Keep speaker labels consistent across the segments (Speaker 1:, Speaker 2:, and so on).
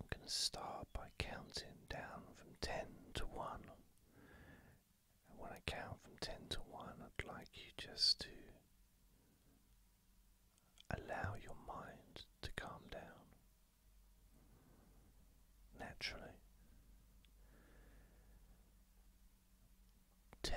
Speaker 1: I'm going to start by counting down from 10 to 1. And when I count from 10 to 1, I'd like you just to allow your mind to calm down naturally. 10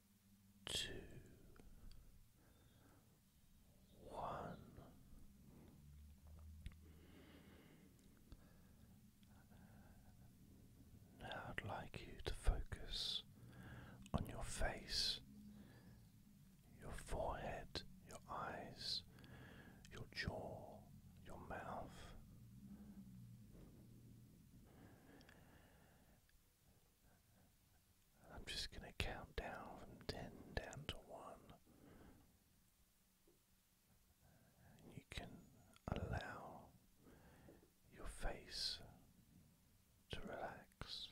Speaker 1: two, one. Now I'd like you to focus on your face, your forehead, your eyes, your jaw, your mouth. I'm just going to count down from 10 down to 1. you can allow your face to relax.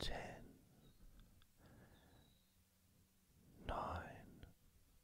Speaker 1: 10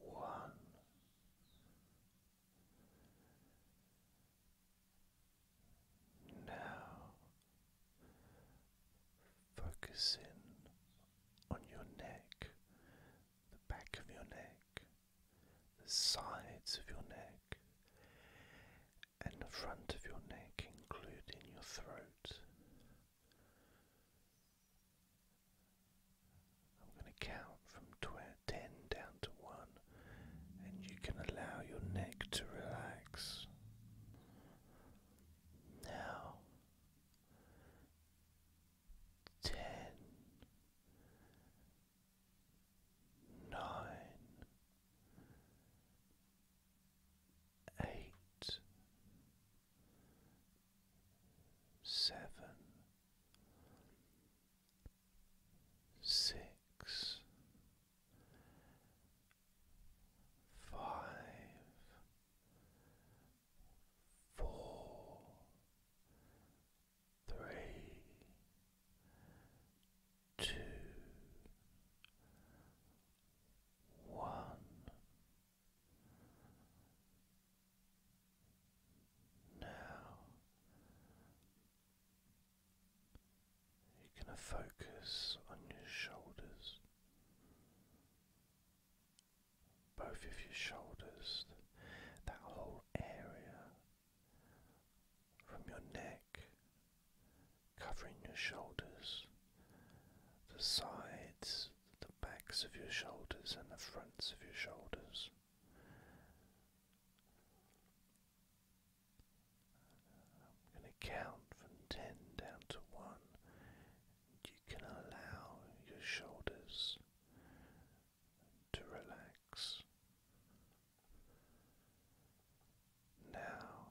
Speaker 1: one. Now, focus on your neck, the back of your neck, the sides of your neck, and the front of your neck, including your throat. I'm going to count from 10 down to 1, and you can allow your neck to relax. Now, 10, 8, seven, six, five, four, three, two, one. Now you're going to focus on your shoulders, both of your shoulders, that whole area from your neck covering your shoulders the sides, the backs of your shoulders, and the fronts of your shoulders. I'm going to count from 10 down to 1. You can allow your shoulders to relax. Now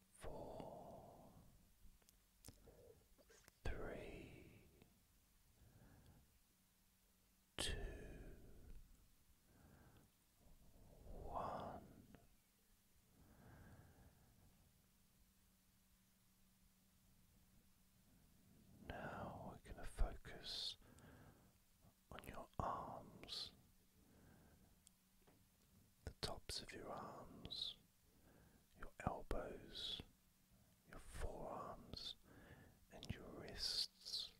Speaker 1: four, three, two, one. Now we're going to focus on your arms the tops of your arms, your elbows, your forearms, and your wrists.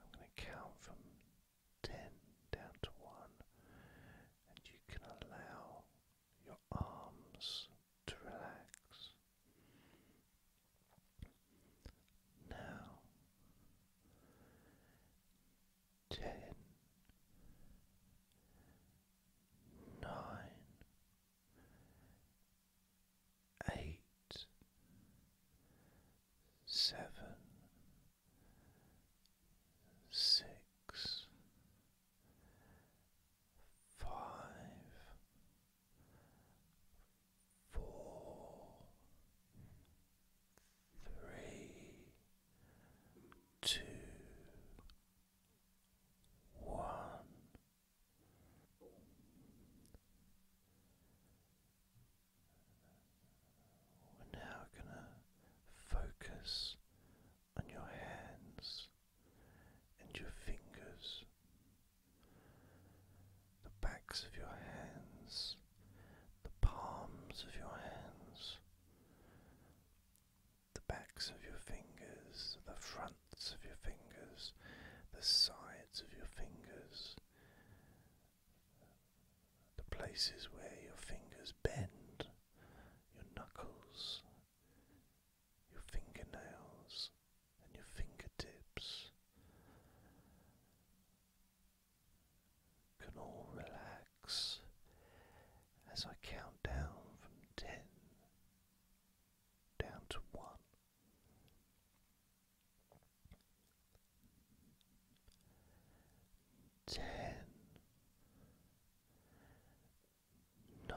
Speaker 1: I'm going to count from 10 down to 1, and you can allow your arms to relax. Now ten, nine, eight, seven, six, five, four, three, two, one. We're now going to focus on your hands and your fingers, the backs of your hands the palms of your hands, the backs of your fingers, the fronts of your fingers, the sides of your fingers, the places where your fingers bend, your knuckles, your fingernails, and your fingertips can all relax as I count down from ten down to one. Ten, nine,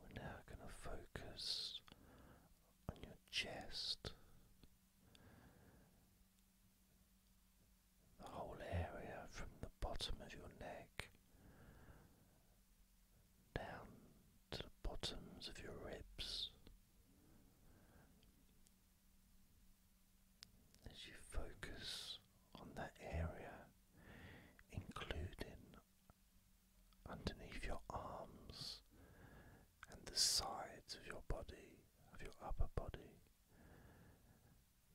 Speaker 1: We're now going to focus on your chest, the whole area from the bottom of your neck down to the bottoms of your ribs as you focus on that area, including underneath your arms and the sides of your body, of your upper body,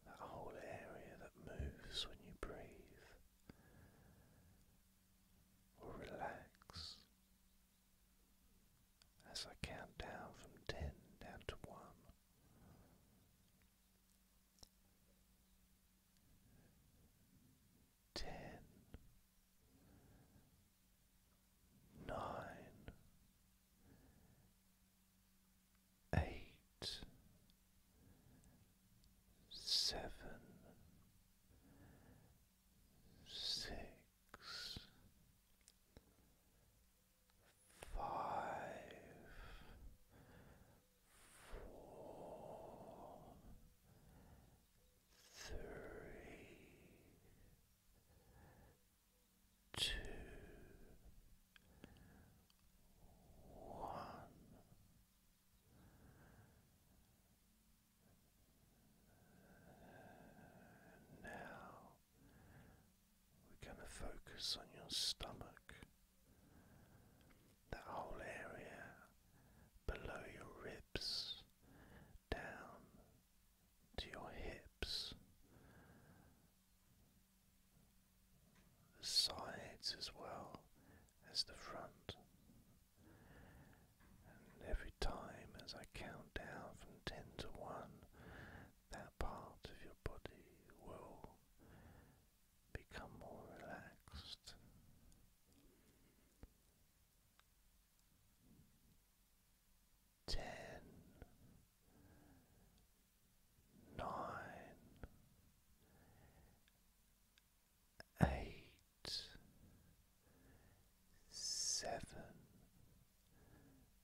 Speaker 1: that whole area that moves when you breathe, will relax as I count down from ten down to one. Ten, nine, eight, seven, six, five, four, three, two, one. Now we're going to focus on your stomach, that whole area below your ribs, down to your hips, the sides as well as the front. And every time as I count down from 10 to 1, that part of your body will become more relaxed. Ten, nine, eight, seven,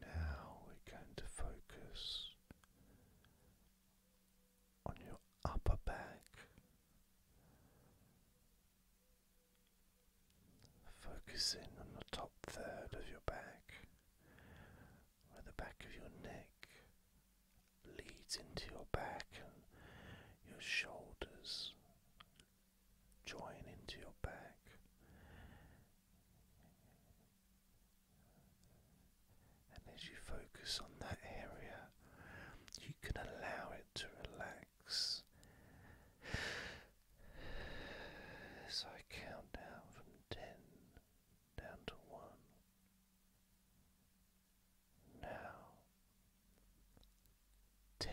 Speaker 1: Now we're going to focus on your upper back, focusing on the top third of your back, where the back of your neck leads into your back and your shoulders join into your back. And as you focus on that area, you can allow it to relax. As I count down from 10 down to 1. Now, ten,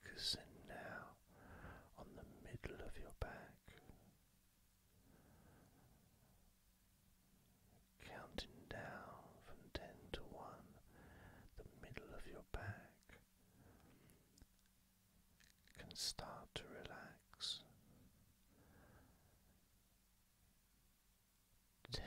Speaker 1: Focusing now on the middle of your back, counting down from ten to one, the middle of your back can start to relax. Ten,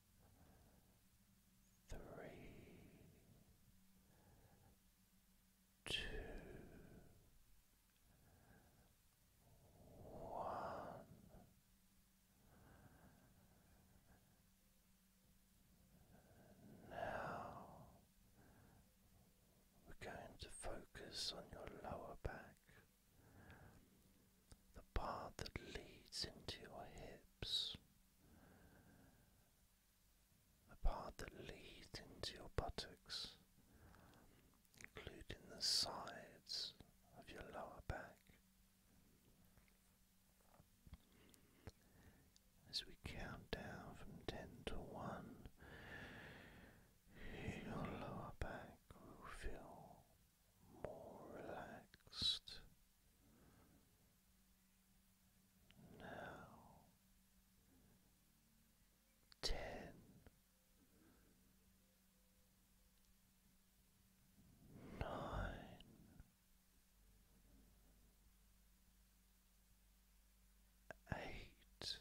Speaker 1: three, two, one. Now we're going to focus on your lower back, the part that leads into your hips the part that leads into your buttocks, including the sides of your lower back. As we count down from 10 to 1, your lower back will feel more relaxed now ten. Nine, eight,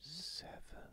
Speaker 1: seven,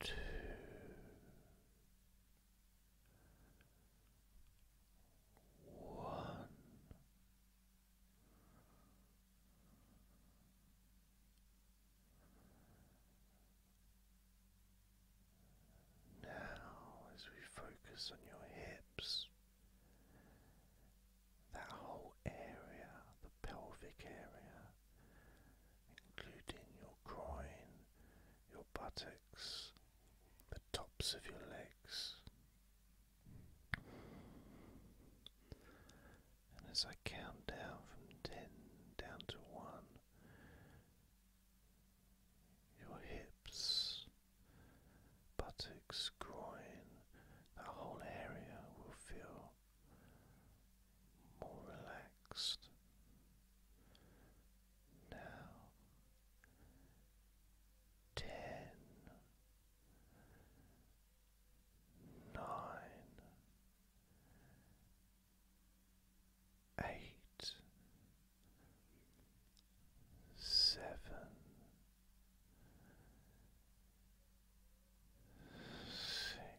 Speaker 1: two, one. Now, as we focus on your hips, that whole area, the pelvic area, including your groin, your buttocks, the tops of your legs. And as I count down from ten down to one, your hips, buttocks, groin, that whole area will feel more relaxed. Now ten, nine, eight, seven, six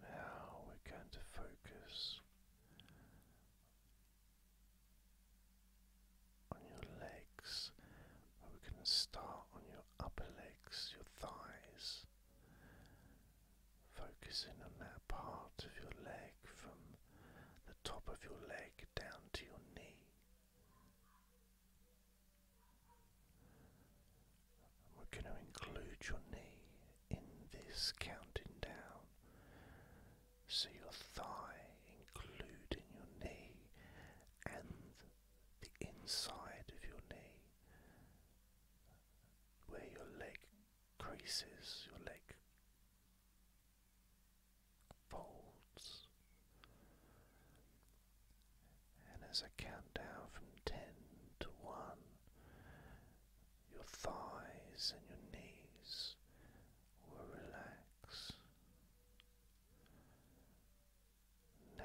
Speaker 1: Now we're going to focus on your legs. We're going to start on your upper legs, your thighs. Focusing on that part of your leg from the top of your leg down to your knee. We're going to include your knee in this counting down. So your thigh, including your knee and the inside of your knee, where your leg creases, your leg folds. And as I count down from ten to one, your thighs and your knees will relax. Now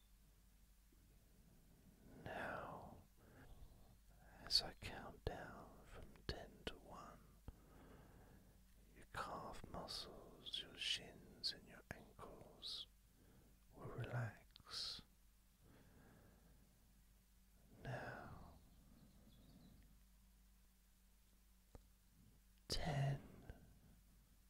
Speaker 1: Now, as I count down from ten to one, your calf muscles, your shins, and your ankles will relax. Now, ten.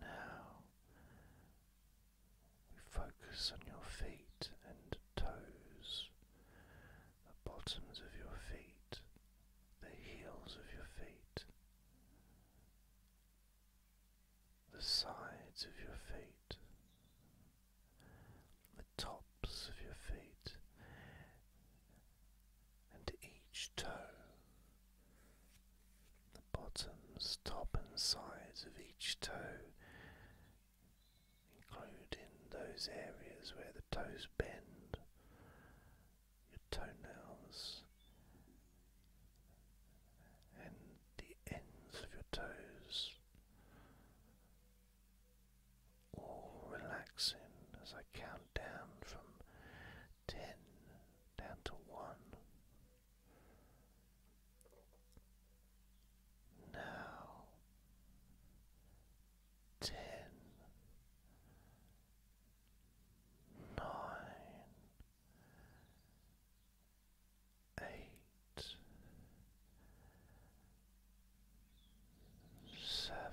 Speaker 1: Now we focus on your feet and toes, the bottoms of your feet, the heels of your feet, the sides of your feet, the tops of your feet, and each toe, the bottoms, top, and sides of each toe, include in those areas where the toes bend, your toenails, and the ends of your toes. All relaxing as I count down from ten down to one. Now ten, nine, eight, seven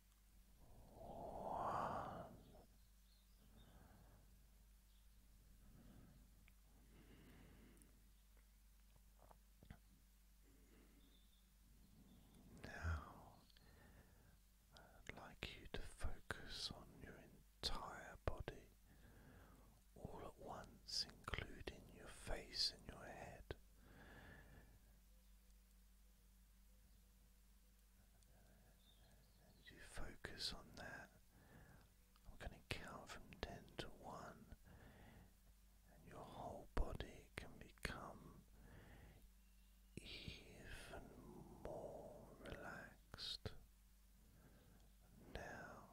Speaker 1: Now, I'd like you to focus on your entire body all at once, including your face and your head you focus on that, I'm going to count from 10 to 1, and your whole body can become even more relaxed. Now,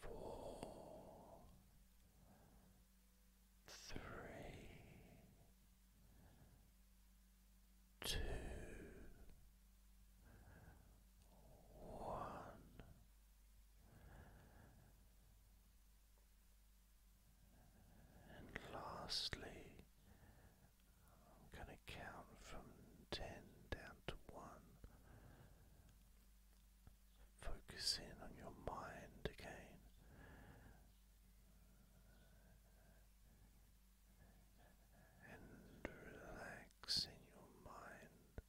Speaker 1: four, three, two, one. And lastly, I'm going to count from 10 down to 1. Focus in on your mind again. And relax in your mind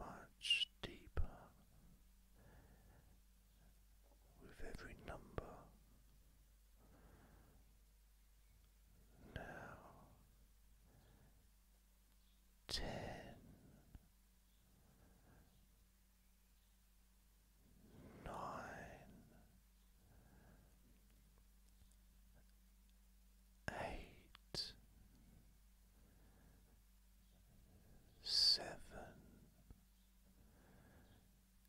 Speaker 1: much deeper with every number now ten nine eight seven